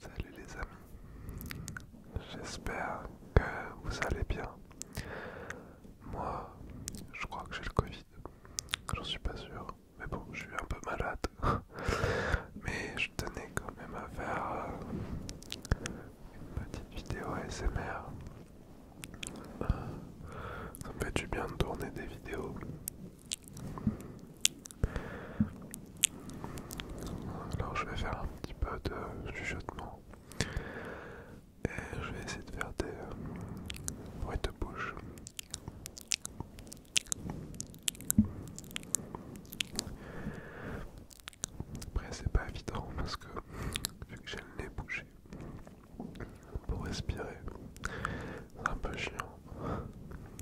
Salut les amis, j'espère que vous allez bien. Moi, je crois que j'ai le Covid, j'en suis pas sûr, mais bon, je suis un peu malade. Mais je tenais quand même à faire euh, une petite vidéo ASMR. Euh, ça me fait du bien de tourner des vidéos. Alors je vais faire un petit peu de chuchotement et je vais essayer de faire des bruits euh, de bouche. Après c'est pas évident parce que vu que j'ai le nez bouché pour respirer, c'est un peu chiant.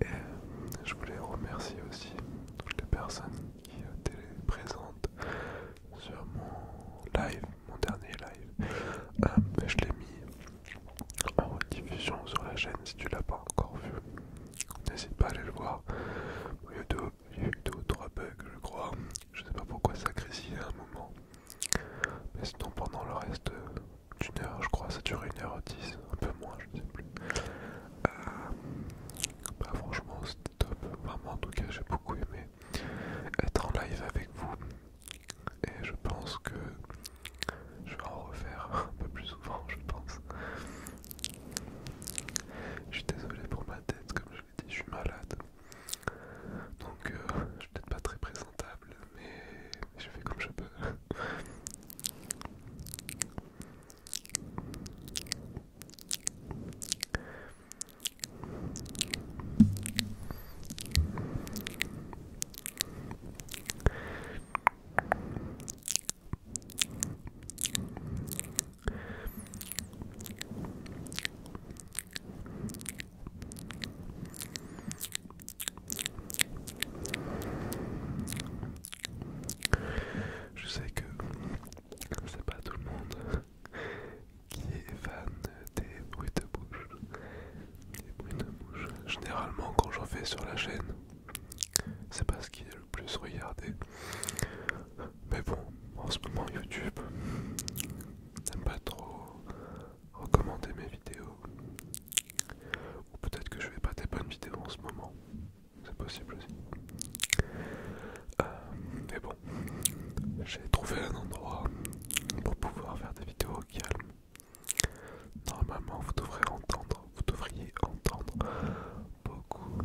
Et euh, je voulais remercier aussi toutes les personnes qui euh, étaient présentes sur mon live, mon dernier live. Euh, je l'ai mis en rediffusion sur la chaîne si tu l'as pas encore vu. N'hésite pas à aller le voir. YouTube, j'ai eu deux ou trois bugs je crois. Je sais pas pourquoi ça grésillait à un moment. Mais sinon pendant le reste d'une heure je crois ça durait une heure dix, un peu moins je sais plus. Euh, bah franchement c'était top, vraiment en tout cas j'ai beaucoup aimé être en live avec vous et je pense que je vais en refaire un peu plus souvent je pense. Je suis désolé pour ma tête comme je suis malade. Donc euh, je suis peut-être pas très présentable, mais je fais comme je peux. Je sais que c'est pas tout le monde qui est fan des bruits de bouche. Généralement, quand j'en fais sur la chaîne, c'est parce ce qui est le plus regardé. Mais bon, en ce moment YouTube n'aime pas trop recommander mes vidéos. Ou peut-être que je vais pas des bonnes vidéos en ce moment. C'est possible aussi. Euh, mais bon, j'ai trouvé un endroit pour pouvoir faire des vidéos au calme. Normalement, vous devrez entendre, vous devriez entendre beaucoup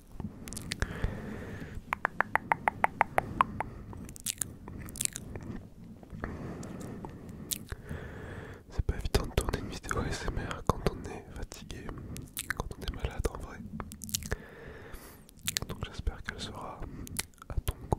C'est pas évident de tourner une vidéo S.M.R. quand on est fatigué, quand on est malade en vrai. Donc j'espère qu'elle sera à ton goût.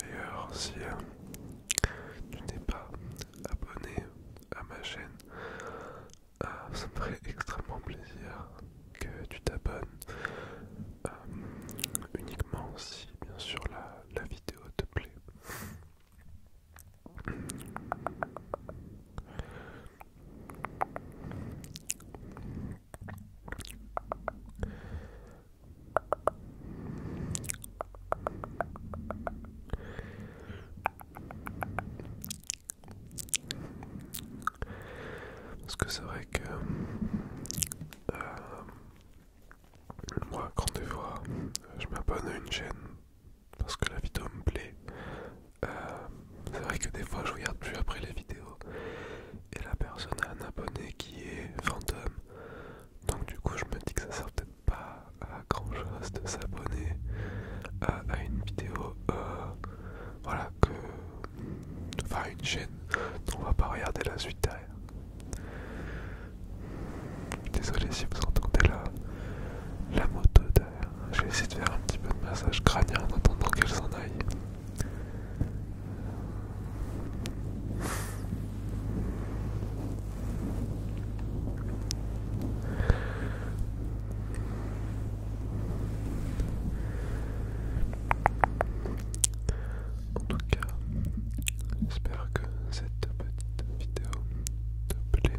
D'ailleurs, si euh, tu n'es pas abonné à ma chaîne, euh, ça me ferait extrêmement plaisir que tu t'abonnes. Euh, uniquement si, bien sûr, la vidéo te plaît. Parce que c'est vrai que euh, moi, quand des fois, je m'abonne à une chaîne parce que la vidéo me plaît, euh, c'est vrai que des fois je regarde plus après les vidéos et la personne a un abonné qui est fantôme. Donc du coup je me dis que ça sert peut-être pas à grand chose de s'abonner à, une vidéo euh, voilà que enfin une chaîne dont on va pas regarder la suite derrière. Désolé si vous entendez la, la moto derrière. Je vais essayer de faire un petit peu de massage crânien en attendant qu'elle s'en aille. En tout cas, j'espère que cette petite vidéo te plaît.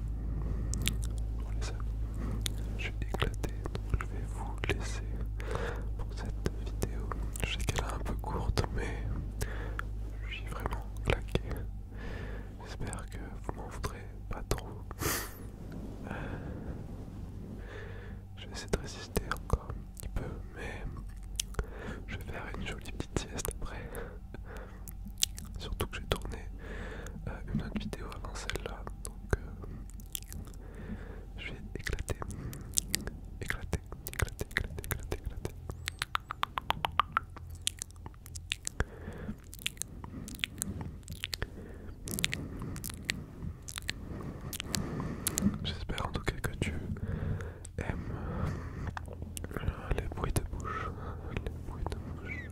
Bon je suis éclaté, donc je vais vous laisser pour cette vidéo. Je sais qu'elle est un peu courte, mais je suis vraiment claqué. J'espère que vous m'en voudrez pas trop. Je vais essayer de résister encore un petit peu, mais je vais faire une jolie petite sieste après. Surtout que j'ai tourné euh, une autre vidéo avant celle-là, donc euh, je vais éclater, éclater, éclater, éclater, éclater, éclater. J'espère en tout cas que tu aimes euh, les bruits de bouche, les bruits de bouche.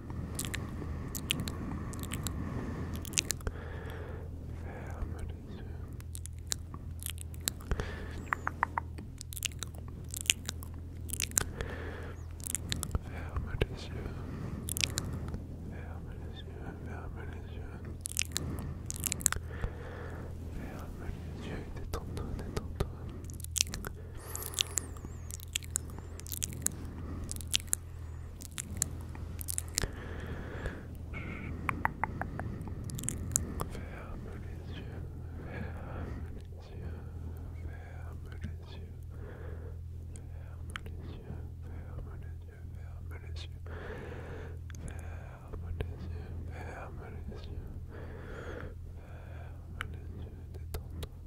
Ferme les yeux. Ferme les yeux. Ferme les yeux. Ferme les yeux. Ferme les yeux toi Ferme les yeux, ferme les yeux, ferme les yeux, ferme les yeux, ferme les yeux, ferme les yeux, ferme les yeux, ferme les yeux, ferme les détends-toi,